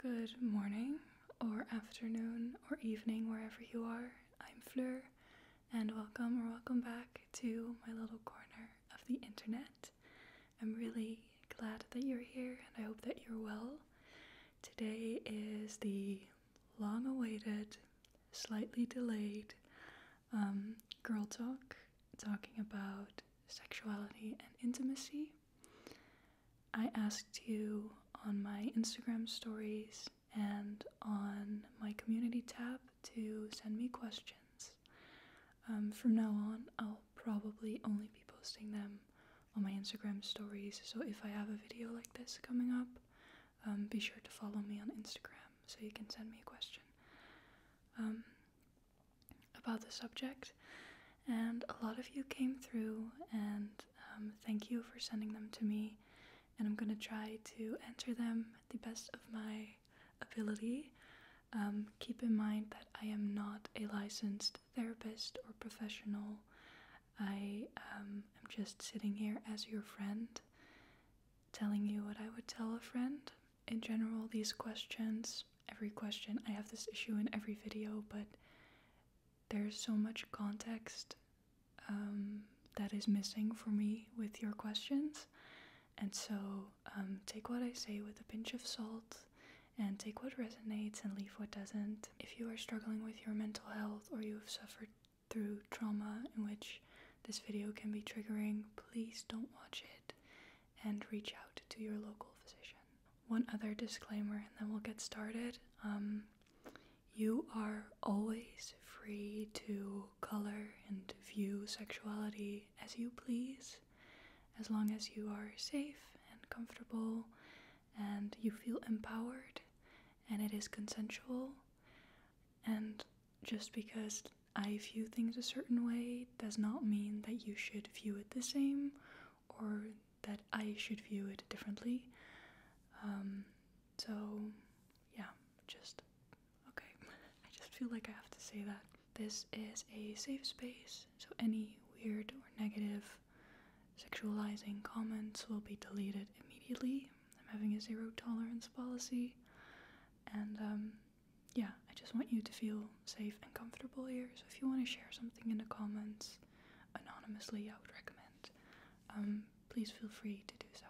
Good morning, or afternoon, or evening, wherever you are. I'm Fleur, and welcome or welcome back to my little corner of the internet. I'm really glad that you're here, and I hope that you're well. Today is the long awaited, slightly delayed um, Girl Talk, talking about sexuality and intimacy. I asked you on my Instagram stories and on my community tab to send me questions. Um, from now on, I'll probably only be posting them on my Instagram stories, so if I have a video like this coming up, um, be sure to follow me on Instagram so you can send me a question. Um, about the subject, and a lot of you came through, and um, thank you for sending them to me. And I'm gonna try to answer them the best of my ability. Um, keep in mind that I am not a licensed therapist or professional. I um, am just sitting here as your friend, telling you what I would tell a friend. In general, these questions every question. I have this issue in every video, but there's so much context um, that is missing for me with your questions. And so um, take what I say with a pinch of salt and take what resonates and leave what doesn't. If you are struggling with your mental health or you have suffered through trauma in which this video can be triggering, please don't watch it and reach out to your local physician. One other disclaimer, and then we'll get started. Um, you are always free to color and view sexuality as you please, as long as you are safe and comfortable and you feel empowered and it is consensual. And just because I view things a certain way does not mean that you should view it the same or that I should view it differently. Um, so, yeah, just okay. I just feel like I have to say that. This is a safe space, so any weird or negative sexualizing comments will be deleted immediately. I'm having a zero tolerance policy, and um, yeah, I just want you to feel safe and comfortable here. So if you want to share something in the comments anonymously, I would recommend. Um, please feel free to do so.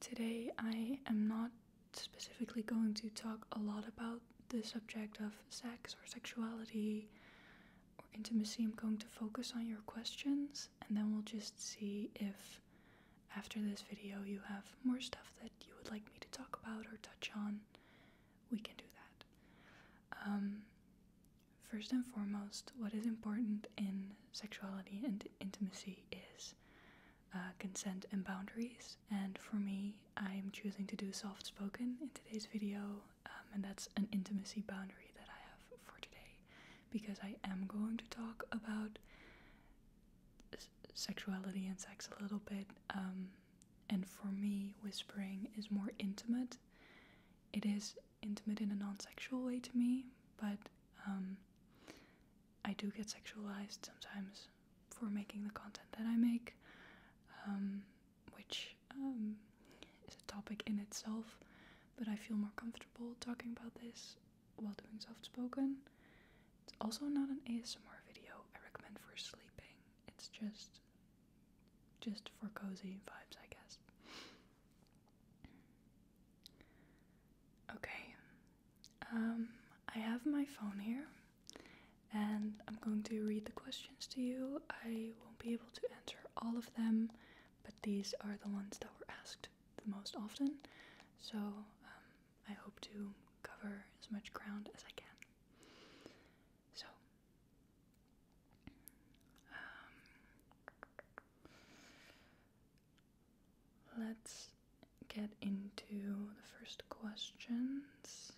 Today, I am not specifically going to talk a lot about the subject of sex or sexuality or intimacy. I'm going to focus on your questions and then we'll just see if after this video you have more stuff that you would like me to talk about or touch on we can do that. Um, first and foremost, what is important in sexuality and intimacy is uh, consent and boundaries. And for me, I'm choosing to do soft spoken in today's video, um, and that's an intimacy boundary that I have for today because I am going to talk about sexuality and sex a little bit. Um, and for me, whispering is more intimate. It is intimate in a non sexual way to me, but um, I do get sexualized sometimes for making the content that I make, um, which is a topic in itself. But I feel more comfortable talking about this while doing soft spoken. It's also not an ASMR video I recommend for sleeping. It's just just for cozy vibes, I guess. Okay. Um I have my phone here and I'm going to read the questions to you. I won't be able to answer all of them, but these are the ones that were asked the most often. So um, I hope to cover as much ground as I can. So, um, let's get into the first questions.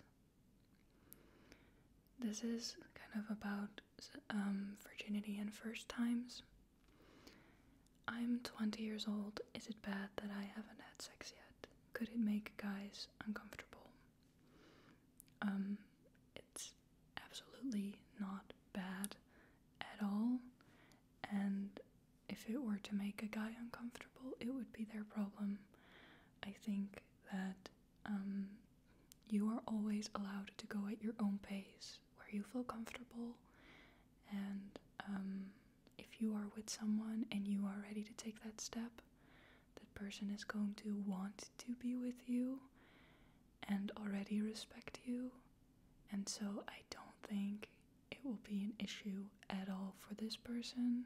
This is kind of about um, virginity and first times. I'm 20 years old. Is it bad that I haven't had sex yet? could it make guys uncomfortable? Um, it's absolutely not bad at all, and if it were to make a guy uncomfortable, it would be their problem. I think that um, you are always allowed to go at your own pace where you feel comfortable and um, if you are with someone and you are ready to take that step, that person is going to want to be with you and already respect you. And so I don't think it will be an issue at all for this person.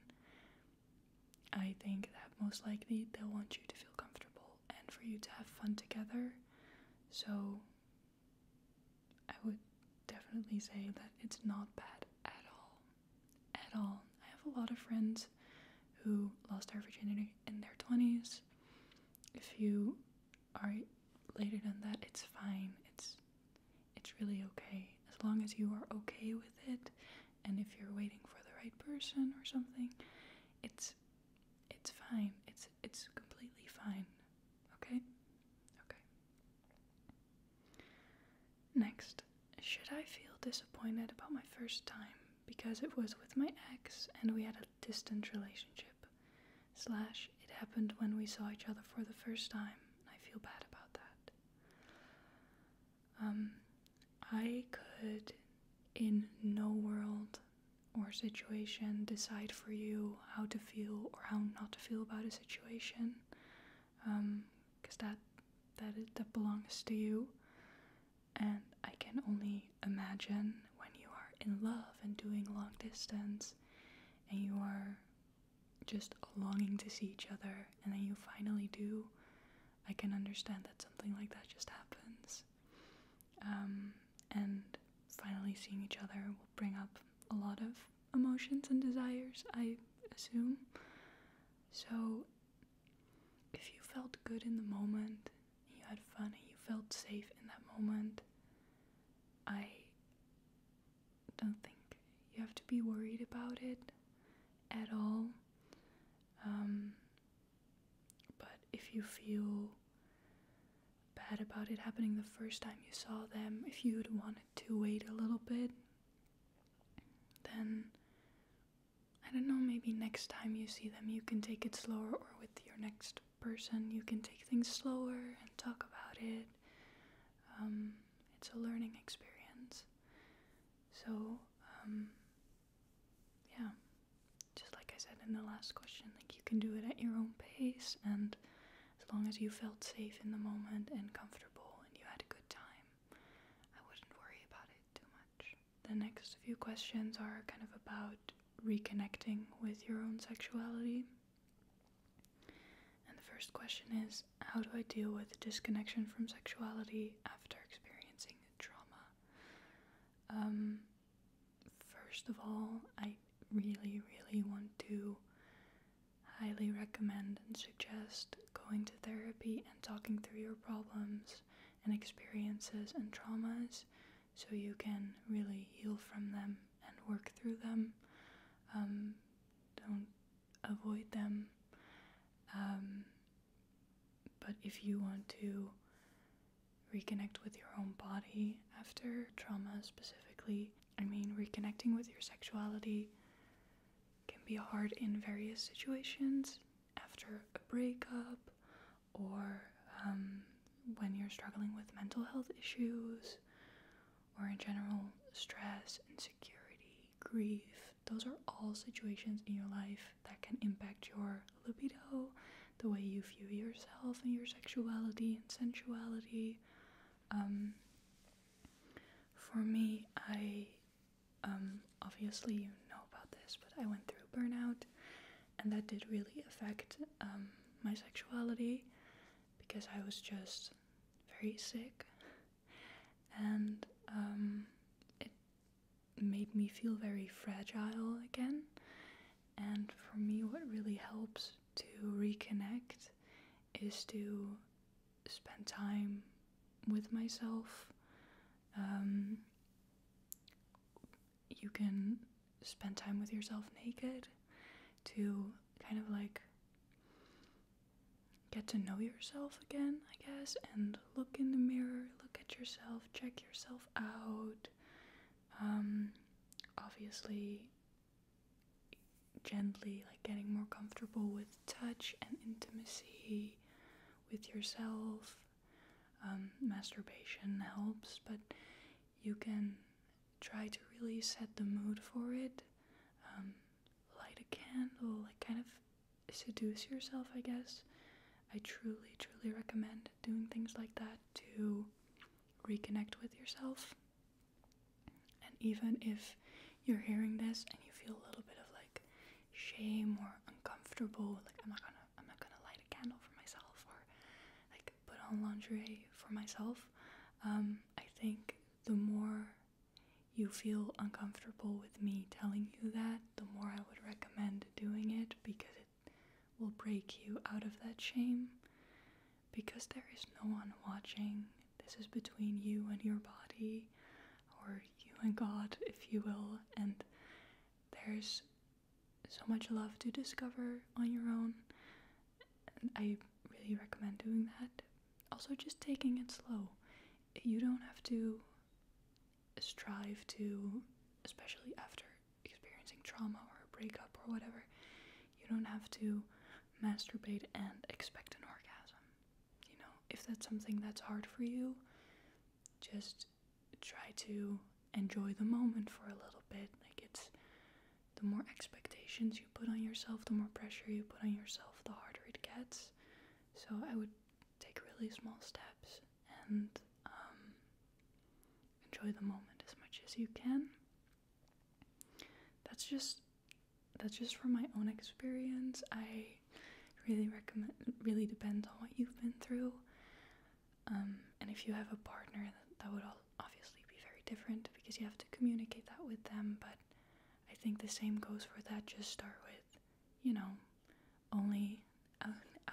I think that most likely they'll want you to feel comfortable and for you to have fun together. So I would definitely say that it's not bad at all at all. I have a lot of friends who lost their virginity in their 20s. If you are later than that, it's fine. It's it's really okay as long as you are okay with it and if you're waiting for the right person or something, it's it's fine. It's it's completely fine. Okay? Okay. Next, should I feel disappointed about my first time because it was with my ex and we had a distant relationship? Slash, it happened when we saw each other for the first time. I feel bad about that. Um, I could, in no world or situation, decide for you how to feel or how not to feel about a situation because um, that that is, that belongs to you. And I can only imagine when you are in love and doing long distance, and you are just longing to see each other, and then you finally do. I can understand that something like that just happens. Um, and finally seeing each other will bring up a lot of emotions and desires, I assume. So, if you felt good in the moment, you had fun, and you felt safe in that moment, I don't think you have to be worried about it at all. Um, but if you feel bad about it happening the first time you saw them, if you'd wanted to wait a little bit, then I don't know, maybe next time you see them, you can take it slower, or with your next person, you can take things slower and talk about it. Um, it's a learning experience. So, um, yeah, just like I said in the last question, like you can do it at your own pace, and as long as you felt safe in the moment and comfortable and you had a good time. I wouldn't worry about it too much. The next few questions are kind of about reconnecting with your own sexuality. And the first question is How do I deal with disconnection from sexuality after experiencing trauma? Um, first of all, I really, really want to highly recommend and suggest going to therapy and talking through your problems and experiences and traumas so you can really heal from them and work through them. Um, don't avoid them. Um, but if you want to reconnect with your own body after trauma specifically, I mean, reconnecting with your sexuality can be hard in various situations after a breakup or um, when you're struggling with mental health issues or in general stress, insecurity, grief. Those are all situations in your life that can impact your libido, the way you view yourself and your sexuality and sensuality. Um, for me, I um, obviously you know about this, but I went through burnout, and that did really affect um, my sexuality because I was just very sick, and um, it made me feel very fragile again. And for me, what really helps to reconnect is to spend time with myself. Um, you can spend time with yourself naked to kind of like get to know yourself again, I guess, and look in the mirror, look at yourself, check yourself out. Um, obviously, gently like getting more comfortable with touch and intimacy with yourself. Um, masturbation helps, but you can try to really set the mood for it. Um, light a candle, like kind of seduce yourself, I guess. I truly, truly recommend doing things like that to reconnect with yourself. And even if you're hearing this and you feel a little bit of like shame or uncomfortable, like I'm not gonna I'm not gonna light a candle for myself or like put on lingerie for myself, um, I think the more you feel uncomfortable with me telling you that, the more I would recommend doing it because it will break you out of that shame because there is no one watching. This is between you and your body, or you and God, if you will. And there's so much love to discover on your own. And I really recommend doing that. Also, just taking it slow. You don't have to strive to, especially after experiencing trauma or a breakup or whatever, you don't have to masturbate and expect an orgasm. You know, if that's something that's hard for you, just try to enjoy the moment for a little bit. Like it's the more expectations you put on yourself, the more pressure you put on yourself, the harder it gets. So I would take really small steps and um, enjoy the moment as much as you can. That's just that's just from my own experience. I really recommend it really depends on what you've been through. Um, and if you have a partner, that, would all obviously be very different because you have to communicate that with them. But I think the same goes for that. Just start with, you know, only uh,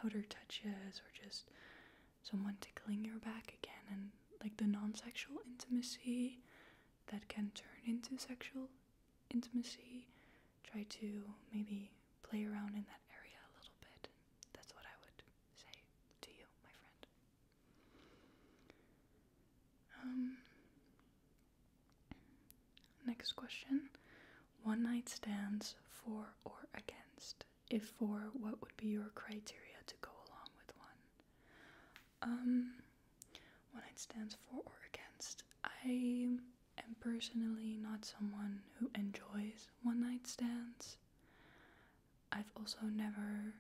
outer touches or just someone tickling your back again and like the non sexual intimacy that can turn into sexual intimacy. Try to maybe play around in that area a little bit. That's what I would say to you, my friend. Um, next question One night stands for or against? If for, what would be your criteria to go along with one? Um, one night stands for or against. I am personally not someone who enjoys one night stands. I've also never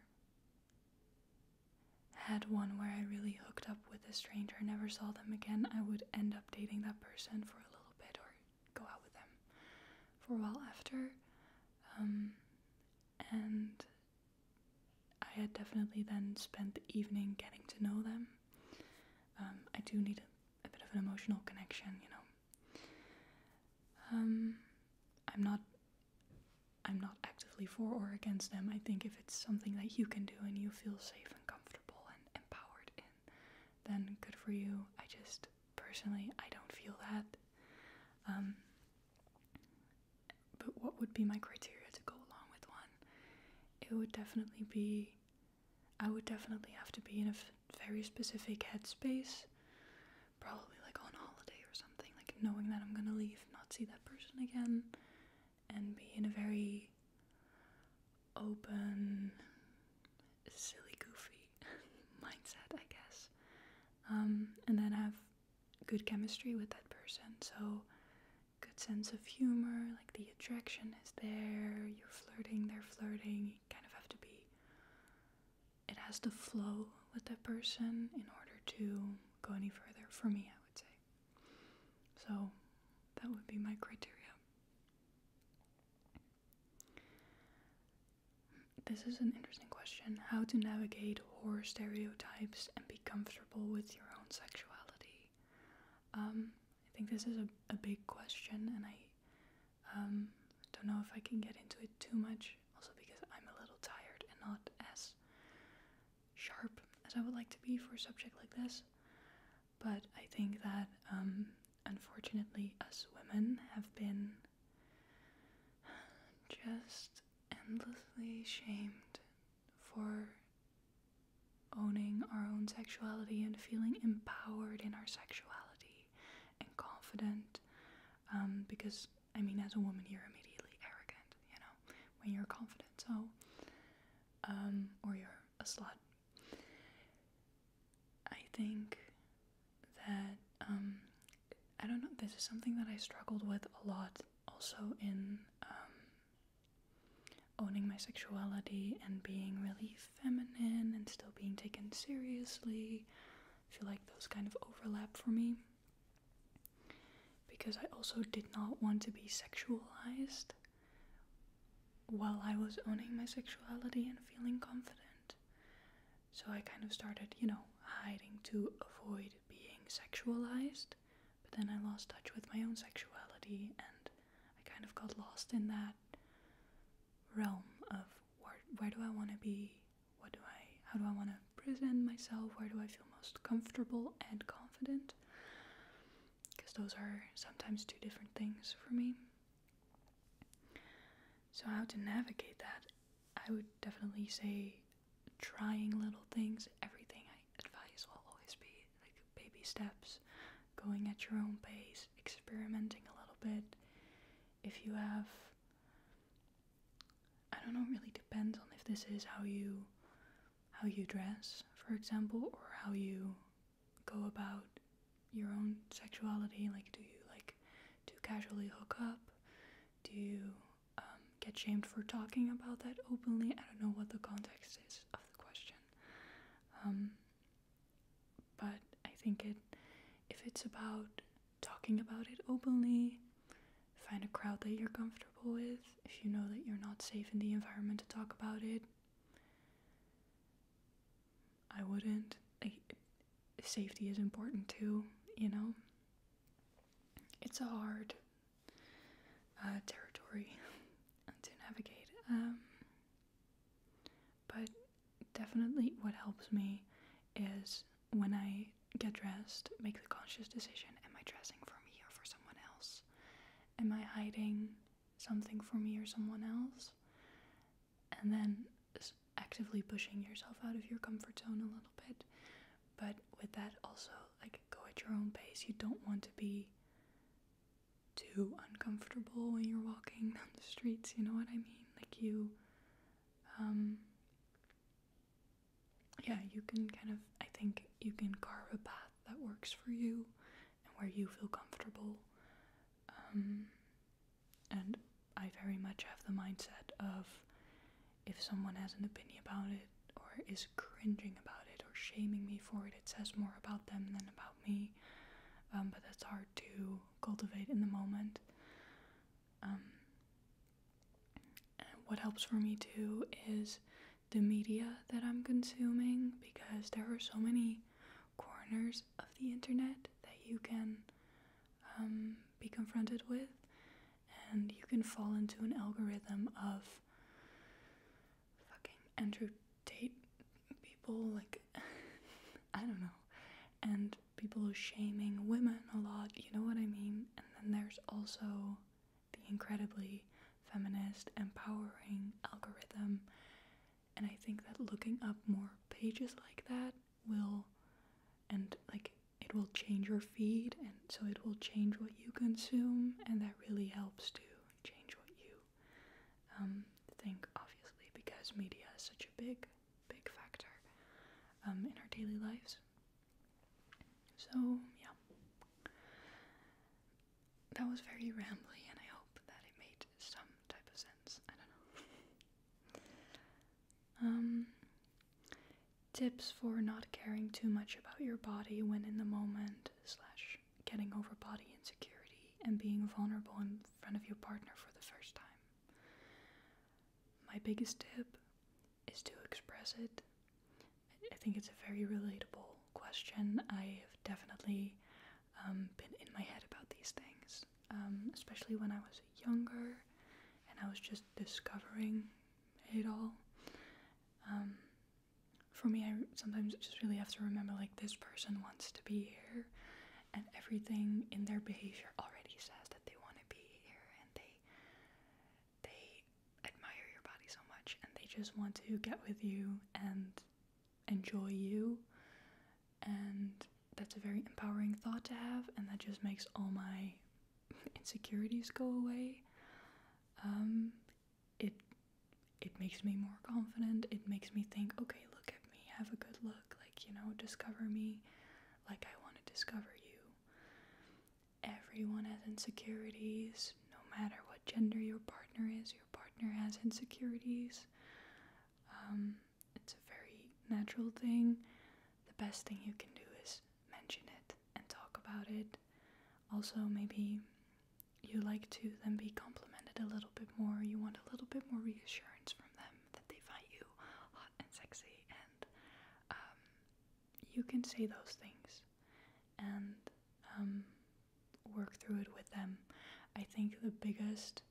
had one where I really hooked up with a stranger, never saw them again. I would end up dating that person for a little bit or go out with them for a while after. Um, and I had definitely then spent the evening getting to know them. Um, I do need a, bit of an emotional connection, you know. Um, I'm not. I'm not actively for or against them. I think if it's something that you can do and you feel safe and comfortable and empowered in, then good for you. I just personally, I don't feel that. Um, but what would be my criteria to go along with one? It would definitely be, I would definitely have to be in a very specific headspace, probably like on holiday or something, like knowing that I'm gonna leave, not see that person again, and be in a very open, silly, goofy mindset, I guess. Um, and then have good chemistry with that person. So, good sense of humor, like the attraction is there, you're flirting, they're flirting. kind of have to be, it has to flow with that person in order to go any further, for me, I would say. So, that would be my criteria. This is an interesting question. How to navigate horror stereotypes and comfortable with your own sexuality? Um, I think this is a, a big question, and I um, don't know if I can get into it too much, also because I'm a little tired and not as sharp as I would like to be for a subject like this. But I think that um, unfortunately, us women have been just endlessly shamed for owning our own sexuality and feeling empowered in our sexuality and confident. Um, because, I mean, as a woman, you're immediately arrogant, you know, when you're confident, so, um, or you're a slut. I think that um, I don't know, this is something that I struggled with a lot also in um, owning my sexuality and being really feminine and still being taken seriously. feel like those kind of overlap for me. Because I also did not want to be sexualized while I was owning my sexuality and feeling confident. So I kind of started, you know, hiding to avoid being sexualized, but then I lost touch with my own sexuality and I kind of got lost in that realm of where, do I want to be? What do I, how do I want to present myself? Where do I feel most comfortable and confident? Because those are sometimes two different things for me. So, how to navigate that I would definitely say trying little things. Everything I advise will always be like baby steps, going at your own pace, experimenting a little bit. If you have, I don't know, really depends on if this is how you how you dress, for example, or how you go about your own sexuality. Like, do you like to casually hook up? Do you um, get shamed for talking about that openly. I don't know what the context is of the question. Um, but I think it, if it's about talking about it openly, find a crowd that you're comfortable with. If you know that you're not safe in the environment to talk about it, I wouldn't. safety is important too, you know it's a hard uh, territory to navigate. Um, but definitely, what helps me is when I get dressed, make the conscious decision am I dressing for me or for someone else? Am I hiding something for me or someone else? And then actively pushing yourself out of your comfort zone a little bit but with that, also, like, go at your own pace. You don't want to be too uncomfortable when you're walking down the streets, you know what I mean? Like, you, um, yeah, you can kind of, I think, you can carve a path that works for you and where you feel comfortable. Um, and I very much have the mindset of if someone has an opinion about it or is cringing about it or shaming me for it, it says more about them than about me. Um, but that's hard to cultivate in the moment. Um, what helps for me too is the media that I'm consuming because there are so many corners of the internet that you can um, be confronted with, and you can fall into an algorithm of fucking Andrew Tate people, like, I don't know, and people shaming women a lot, you know what I mean? And then there's also the incredibly feminist, empowering algorithm. And I think that looking up more pages like that will, and like it will change your feed and so it will change what you consume and that really helps to change what you um, think obviously because media is such a big big factor um, in our daily lives so yeah that was very rambling, and i hope that it made some type of sense i don't know um, tips for not caring too much about your body when in the moment slash getting over body insecurity and being vulnerable in front of your partner for the first time my biggest tip is to express it i think it's a very relatable question i have definitely um, been in my head about these things um, especially when i was younger and i was just discovering it all. Um, for me, I sometimes just really have to remember like this person wants to be here, and everything in their behavior already says that they want to be here, and they they admire your body so much, and they just want to get with you and enjoy you, and that's a very empowering thought to have, and that just makes all my insecurities go away. Um, it it makes me more confident. It makes me think, okay, look at me, have a good look, like you know, discover me, like I want to discover you. Everyone has insecurities, no matter what gender your partner is. Your partner has insecurities. Um, it's a very natural thing. The best thing you can do is mention it and talk about it. Also, maybe you like to then be complimented a little bit more. You want a little bit more reassurance from them that they find you hot and sexy, and um, you can say those things and um, work through it with them. I think the biggest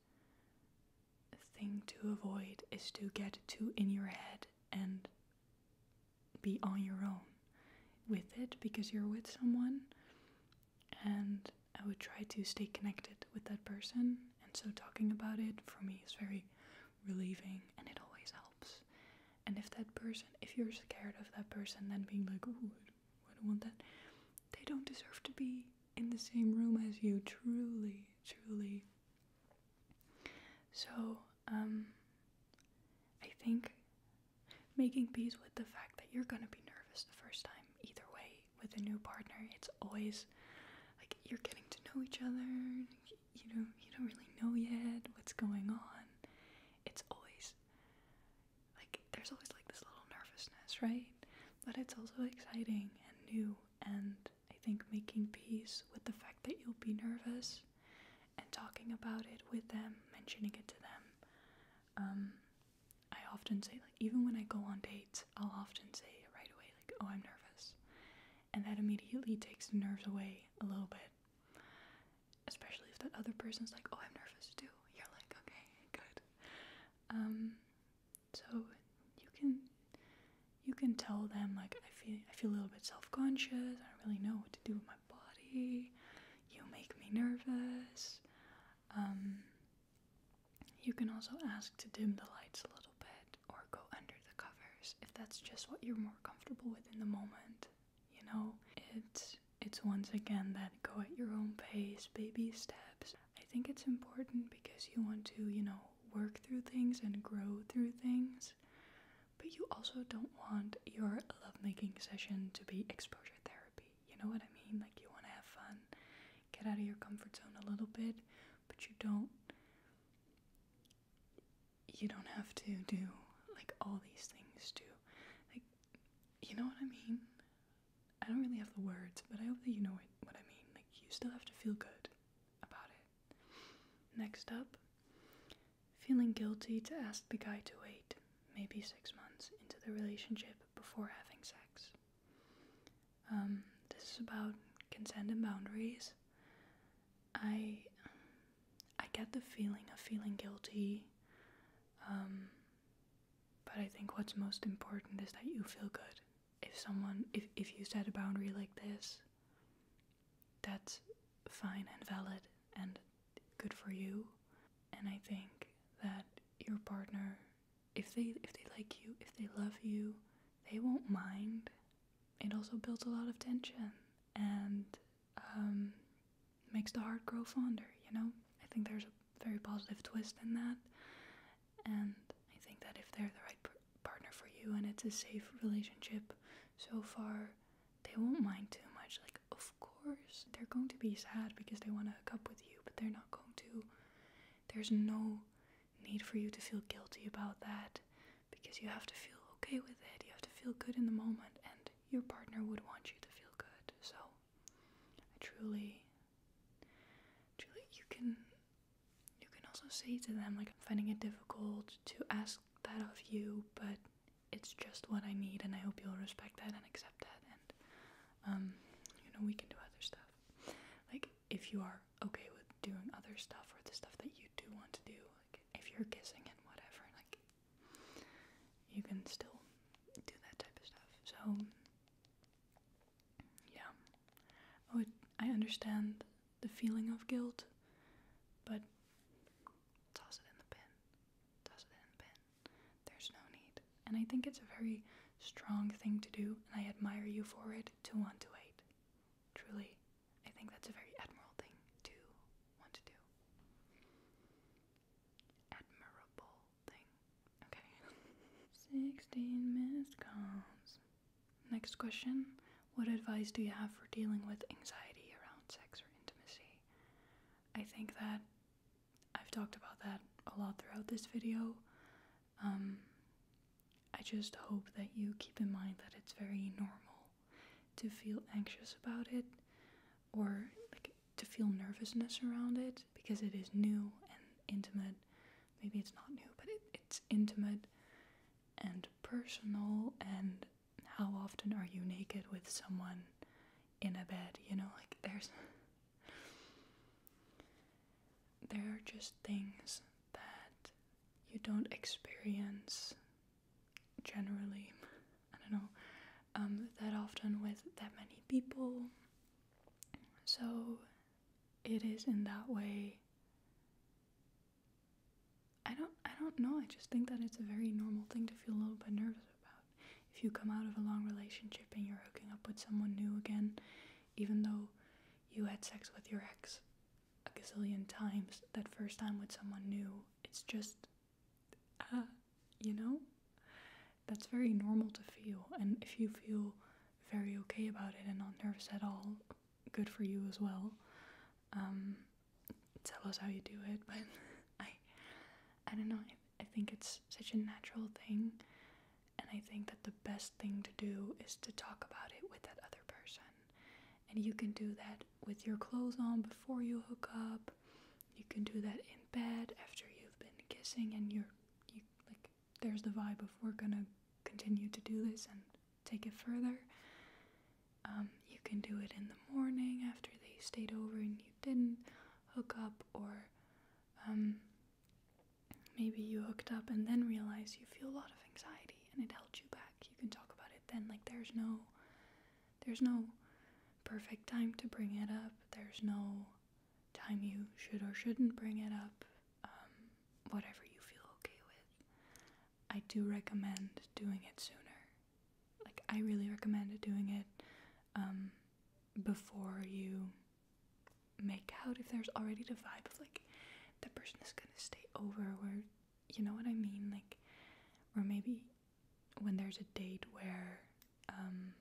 thing to avoid is to get too in your head and be on your own with it because you're with someone. And I would try to stay connected with that person. And so talking about it for me is very relieving and it always helps. And if that person, if you're scared of that person, then being like, ooh, I don't want that, they don't deserve to be in the same room as you. Truly, truly, so, um, I think making peace with the fact that you're gonna be nervous the first time, either way, with a new partner, it's always like you're getting to know each other, you know, you don't really know yet what's going on. It's always like there's always like this little nervousness, right? But it's also exciting and new and I think making peace with the fact that you'll be nervous and talking about it with them, mentioning it to them. Um, I often say, like, even when I go on dates, I'll often say right away, like, oh, I'm nervous. And that immediately takes the nerves away a little bit. Especially if that other person's like, oh, I'm nervous too. You're like, okay, good. Um, so you can you can tell them like I feel I feel a little bit self-conscious. I don't really know what to do with my body. You make me nervous. Um, you can also ask to dim the lights a little bit or go under the covers if that's just what you're more comfortable with in the moment. You know, it's it's once again that go at your own pace, baby steps. I think it's important because you want to, you know, work through things and grow through things. But you also don't want your lovemaking session to be exposure therapy. You know what I mean? Like, you want to have fun, get out of your comfort zone a little bit, but you don't. You don't have to do like all these things to, like, you know what I mean? I don't really have the words, but I hope that you know what I mean. Like, you still have to feel good about it. Next up, feeling guilty to ask the guy to wait maybe six months into the relationship before having sex. Um, this is about consent and boundaries. I I get the feeling of feeling guilty, um, but I think what's most important is that you feel good if someone if, if you set a boundary like this that's fine and valid and good for you and i think that your partner if they if they like you if they love you they won't mind it also builds a lot of tension and um, makes the heart grow fonder you know i think there's a very positive twist in that and I think that if they're the right partner for you and it's a safe relationship so far, they won't mind too much. Like, of course, they're going to be sad because they want to hook up with you, but they're not going to. There's no need for you to feel guilty about that because you have to feel okay with it. You have to feel good in the moment, and your partner would want you to feel good. So, I truly, truly, you can you can also say to them, like, I'm finding it difficult to ask that of you, but it's just what I need, and I hope you'll respect that and accept that. And, um, you know, we can do other stuff. Like, if you are okay with doing other stuff or the stuff that you do want to do, like, if you're kissing and whatever, like, you can still do that type of stuff. So, yeah, oh, I understand the feeling of guilt, but toss it in the bin. Toss it in the bin. There's no need. And I think it's a very strong thing to do, and I admire you for it to want to wait. Truly, I think that's a very admirable thing to want to do. Admirable thing. Okay. 16 missed calls. Next question What advice do you have for dealing with anxiety around sex or intimacy? I think that I've talked about that a lot throughout this video. Um, I just hope that you keep in mind that it's very normal to feel anxious about it or to feel nervousness around it because it is new and intimate. Maybe it's not new, but it's intimate and personal and how often are you naked with someone in a bed you know like there's there are just things that you don't experience generally i don't know um, that often with that many people so it is in that way I don't I don't know. I just think that it's a very normal thing to feel a little bit nervous about. If you come out of a long relationship and you're hooking up with someone new again, even though you had sex with your ex a gazillion times, that first time with someone new, it's just uh, you know? That's very normal to feel and if you feel very okay about it and not nervous at all, good for you as well. Um, tell us how you do it, but I, I don't know. I, I think it's such a natural thing, and I think that the best thing to do is to talk about it with that other person. And you can do that with your clothes on before you hook up. You can do that in bed after you've been kissing and you're you like there's the vibe of we're gonna continue to do this and take it further. Um, you can do it in the morning after they stayed over and you didn't hook up, or um, maybe you hooked up and then realize you feel a lot of anxiety and it held you back. You can talk about it then. Like there's no, there's no perfect time to bring it up. There's no time you should or shouldn't bring it up. Um, whatever you feel okay with. I do recommend doing it sooner. Like, I really recommend doing it um, before you make out if there's already the vibe of like the person is gonna stay over, or you know what I mean? Like, or maybe when there's a date where um,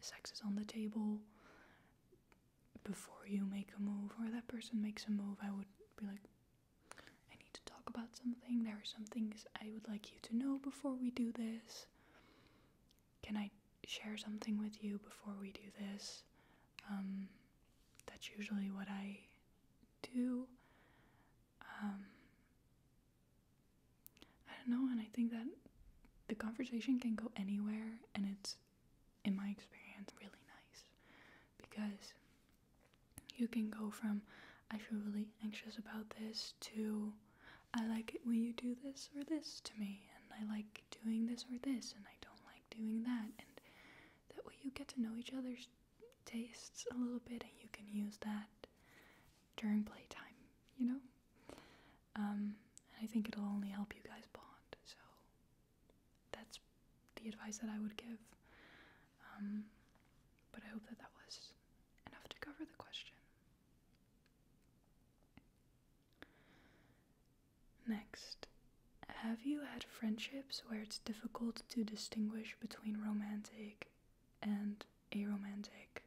sex is on the table before you make a move or that person makes a move, I would be like, I need to talk about something. There are some things I would like you to know before we do this. Can I share something with you before we do this? Um, that's usually what I do. Um, I don't know, and I think that the conversation can go anywhere, and it's in my experience, really nice because you can go from I feel really anxious about this to I like it when you do this or this to me, and I like doing this or this, and I don't like doing that. And that way, you get to know each other's tastes a little bit, and you can use that during playtime, you know? Um, and I think it'll only help you guys bond, so that's the advice that I would give. Um, but I hope that that was enough to cover the question. Next, have you had friendships where it's difficult to distinguish between romantic and a romantic,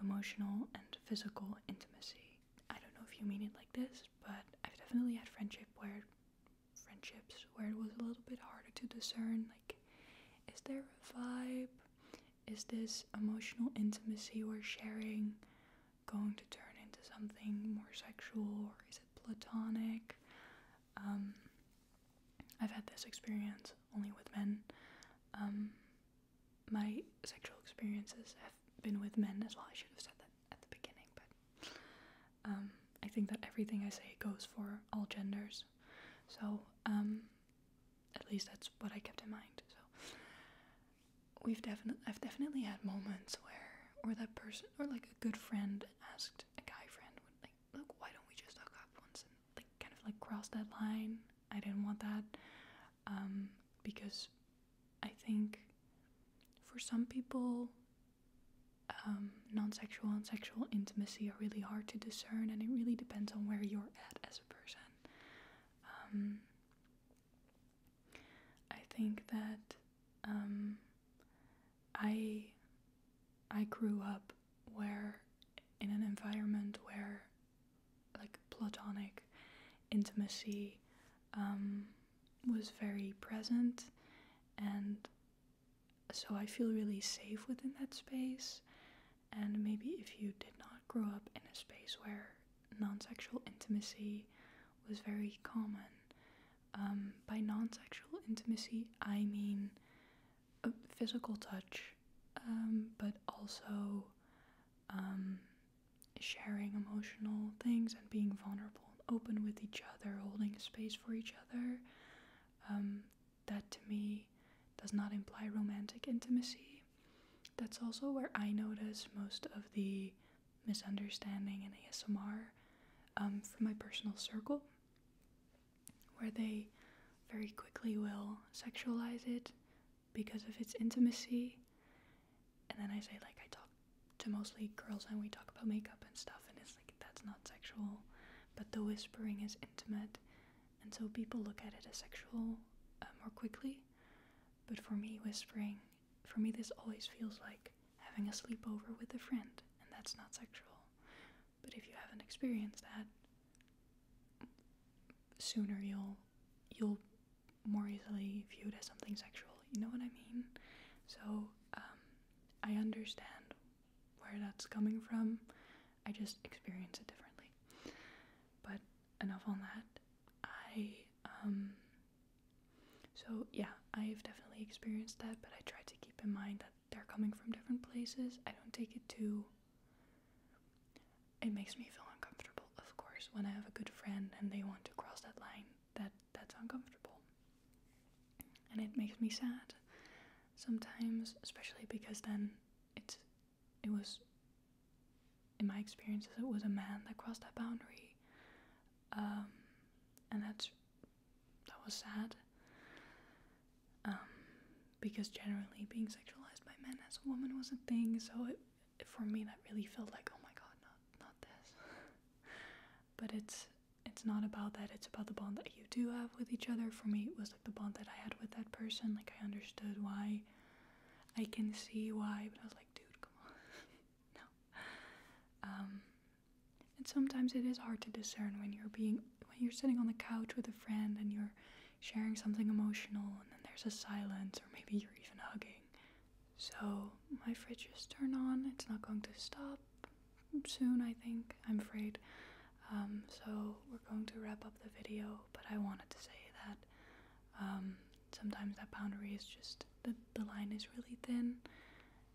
emotional, and physical intimacy? I don't know if you mean it like this, but I've definitely had friendship where friendships where it was a little bit harder to discern like is there a vibe? Is this emotional intimacy we're sharing going to turn into something more sexual or is it platonic? Um, I've had this experience only with men. Um, my sexual experiences have been with men as well. I should have said that at the beginning, but um, I think that everything I say goes for all genders. So, um, at least that's what I kept in mind. So, we've definitely, I've definitely had moments where, or that person, or like a good friend asked a guy friend, like, look, why don't we just hook up once and like kind of like cross that line? I didn't want that um, because I think for some people, um, non sexual and sexual intimacy are really hard to discern, and it really depends on where you're at as a person. Um, I think that um, I I grew up where in an environment where like platonic intimacy was very present and so I feel really safe within that space. And maybe if you did not grow up in a space where non sexual intimacy was very common, um, by non sexual intimacy, I mean uh, physical touch, um, but also um, sharing emotional things and being vulnerable open with each other, holding space for each other. Um, that to me does not imply romantic intimacy. That's also where I notice most of the misunderstanding in ASMR um, from my personal circle, where they very quickly will sexualize it because of its intimacy and then I say like I talk to mostly girls and we talk about makeup and stuff and it's like that's not sexual, but the whispering is intimate, and so people look at it as sexual uh, more quickly. But for me, whispering, for me, this always feels like having a sleepover with a friend, and that's not sexual. But if you haven't experienced that, sooner you'll you'll more easily viewed as something sexual. You know what I mean? So um, I understand where that's coming from. I just experience it differently. But enough on that. I um, So yeah, I've definitely experienced that, but I try to keep in mind that they're coming from different places. I don't take it too. It makes me feel uncomfortable, of course, when I have a good friend and they want to cross that line that that's uncomfortable. And it makes me sad sometimes, especially because then it's it was in my experiences it was a man that crossed that boundary. Um, and that's that was sad. Um, because generally being sexualized by men as a woman was a thing, so it for me that really felt like oh my god not not this but it's it's not about that it's about the bond that you do have with each other for me it was like the bond that i had with that person like i understood why i can see why but i was like dude come on no um, and sometimes it is hard to discern when you're being when you're sitting on the couch with a friend and you're sharing something emotional and then there's a silence or maybe you're even hugging so my fridge is turned on. It's not going to stop soon, I think. I'm afraid. Um, so we're going to wrap up the video, but I wanted to say that um, sometimes that boundary is just the, the line is really thin,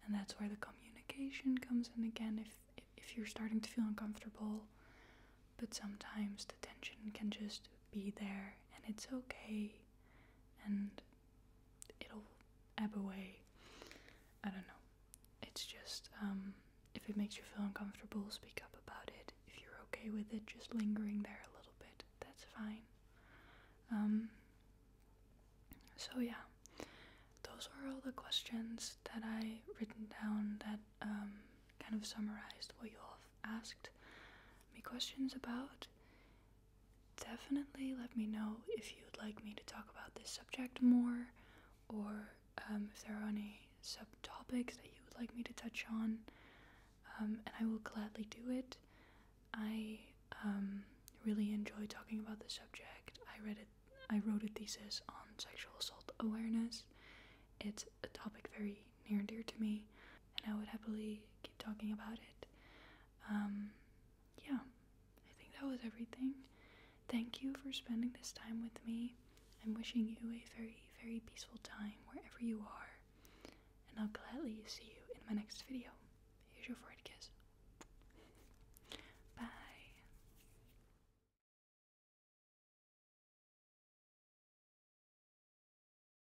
and that's where the communication comes in again. If if you're starting to feel uncomfortable, but sometimes the tension can just be there, and it's okay and it'll ebb away. I don't know. It's just, um, if it makes you feel uncomfortable, speak up about it. If you're okay with it, just lingering there a little bit, that's fine. Um, so, yeah, those are all the questions that I written down that um, kind of summarized what you all asked me questions about definitely let me know if you'd like me to talk about this subject more or um, if there are any subtopics that you would like me to touch on. Um, and I will gladly do it. I um, really enjoy talking about this subject. I read it. I wrote a thesis on sexual assault awareness. It's a topic very near and dear to me, and I would happily keep talking about it. Um, yeah, I think that was everything. Thank you for spending this time with me. I'm wishing you a very, very peaceful time wherever you are, and I'll gladly see you in my next video. Here's your forehead kiss. Bye.